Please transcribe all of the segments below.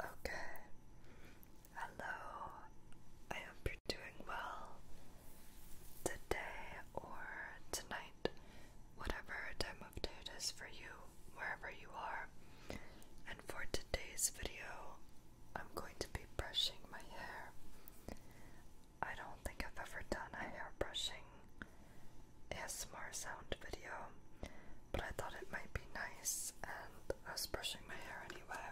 Okay. Hello. I hope you're doing well today or tonight, whatever time of day it is for you, wherever you are. And for today's video, I'm going to be brushing my hair. I don't think I've ever done a hair brushing ASMR sound video, but I thought it might be nice, and I was brushing my hair anyway,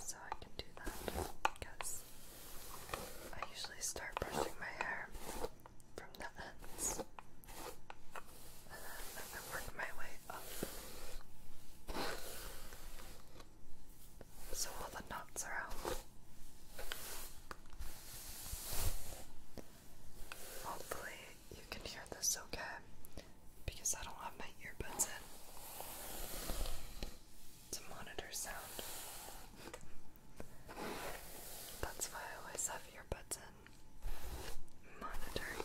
so I can do that because I usually start brushing my hair from the ends and then I work my way up so all the knots are out. Hopefully, you can hear this okay because I don't have my earbuds in to monitor sound. That's why I always have earbuds in monitoring.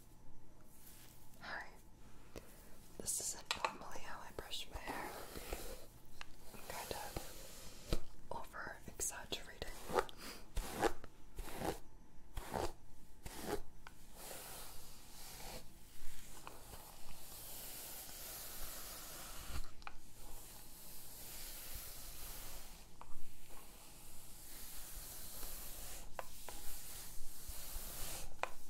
Hi. This isn't normally how I brush my hair. kind of over exaggerating.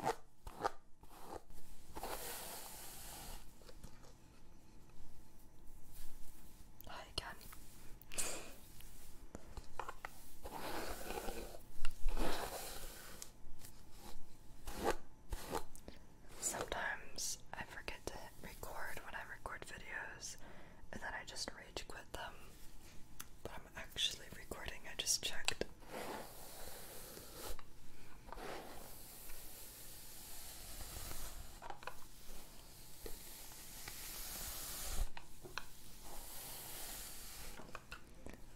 Hi again. Sometimes I forget to record when I record videos and then I just rage quit them. But I'm actually recording, I just checked.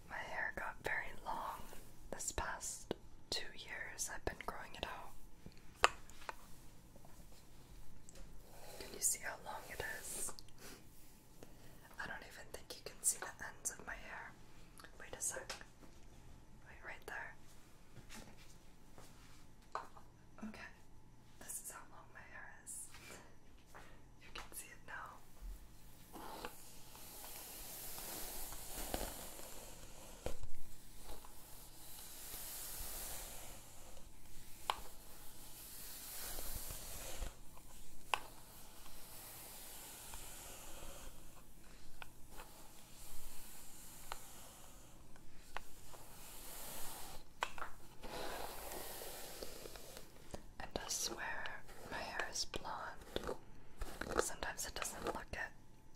My hair got very long this past two years. I've been growing it out. Can you see how long it is? I don't even think you can see the ends of my hair. Wait a sec. Wait, right there. Okay, this is how long my hair is. You can see it now. And I swear my hair is blonde. Sometimes it doesn't look it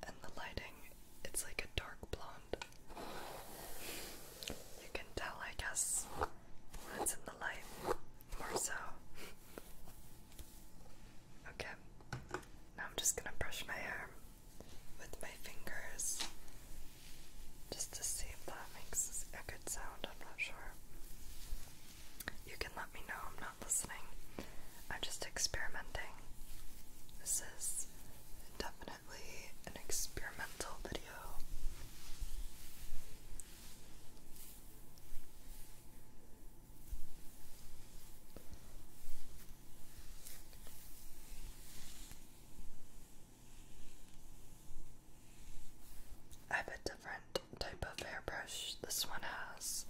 and the lighting, it's like a dark blonde. You can tell, I guess, what's in the light more so. Okay, now I'm just gonna brush my hair with my fingers just to see if that makes a good sound. I'm not sure. You can let me know, I'm not listening. I'm just experimenting. This is definitely an experimental video. I have a different type of hairbrush. This one has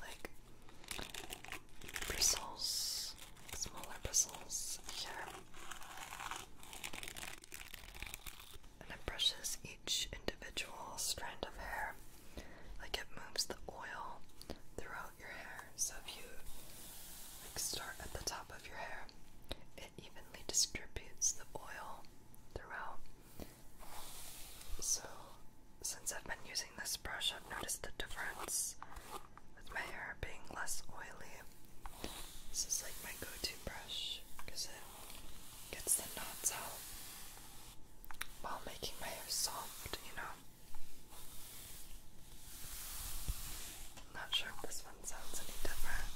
like bristles, smaller bristles here. And it brushes each individual strand of hair like it moves the oil throughout your hair. So if you like start at the top of your hair, it evenly distributes the oil throughout. So since I've been using this brush, I've noticed a difference with my hair being less oily. This is like my go-to brush because it gets the knots out while making my hair soft, you know? I'm not sure if this one sounds any different.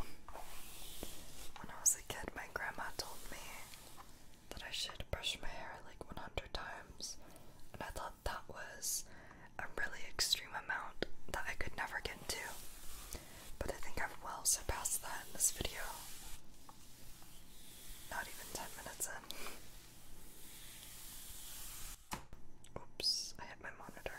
When I was a kid, my grandma told me that I should brush my hair like 100 times, and I thought that was a really extreme amount that I could never get to. But I think I've well surpassed that in this video. Not even 10 minutes in. Oops, I hit my monitor.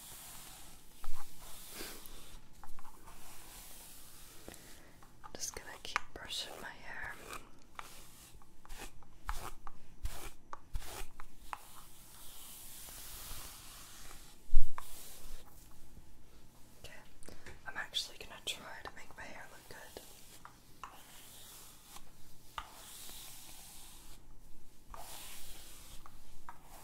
Just gonna keep brushing my hair. Okay, I'm actually gonna try to make my hair look good.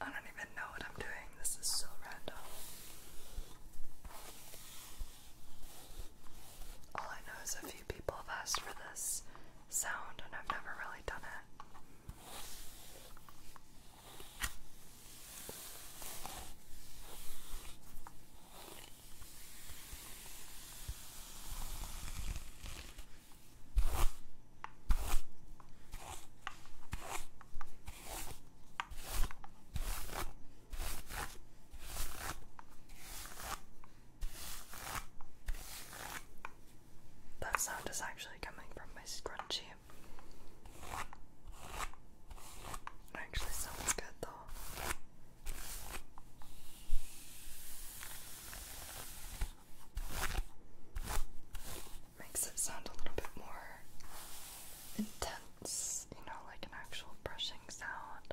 I don't even know what I'm doing. This is so random. All I know is a few people have asked for this, sound, and I've never really done it. That sound is actually coming from my scrunchie. It actually sounds good though. Makes it sound a little bit more intense, you know, like an actual brushing sound.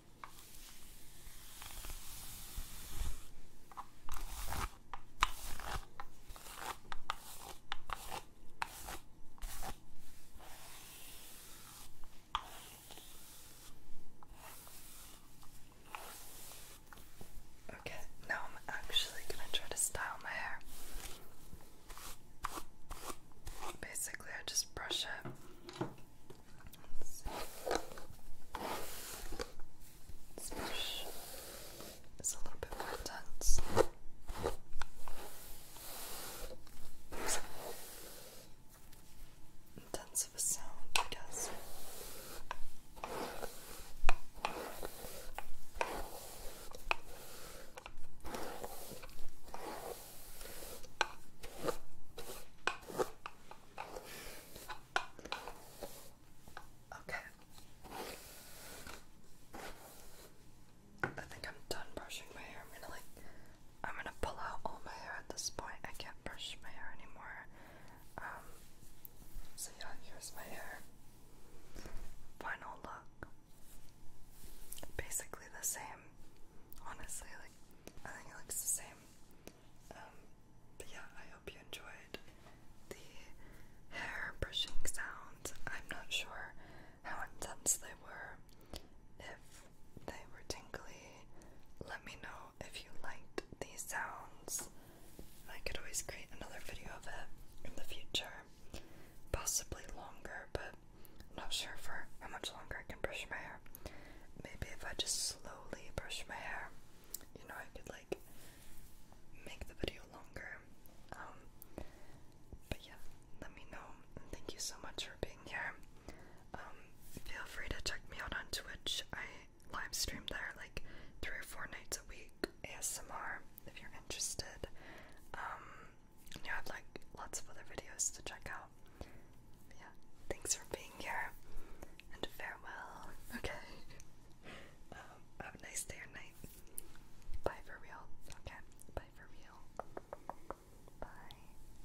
Okay, now I'm actually going to try to style my hair. Basically, I just brush it this a little bit more intense. Intense of a sound, I guess. Okay. I think I'm done brushing my hair. I'm gonna like I'm gonna pull out all my hair at this point. I can't brush my hair anymore. Um so yeah, here's my hair. Final look. Basically the same. Honestly, like I think it looks the same. Um, but yeah, I hope you enjoyed the hair brushing sounds. I'm not sure how intense they were. If they were tingly, let me know if you liked these sounds. I could always create another video of it in the future, possibly longer, but not sure for how much longer I can brush my hair maybe if I just slowly brush my hair, you know, I could like make the video longer. Um, but yeah, let me know. thank you so much for being here. Um, feel free to check me out on Twitch. I live stream there like three or four nights a week. ASMR, if you're interested. you um, have like lots of other videos to check out yeah, thanks for being here, and farewell. Okay. Um, have a nice day or night. Bye for real. Okay. Bye for real. Bye.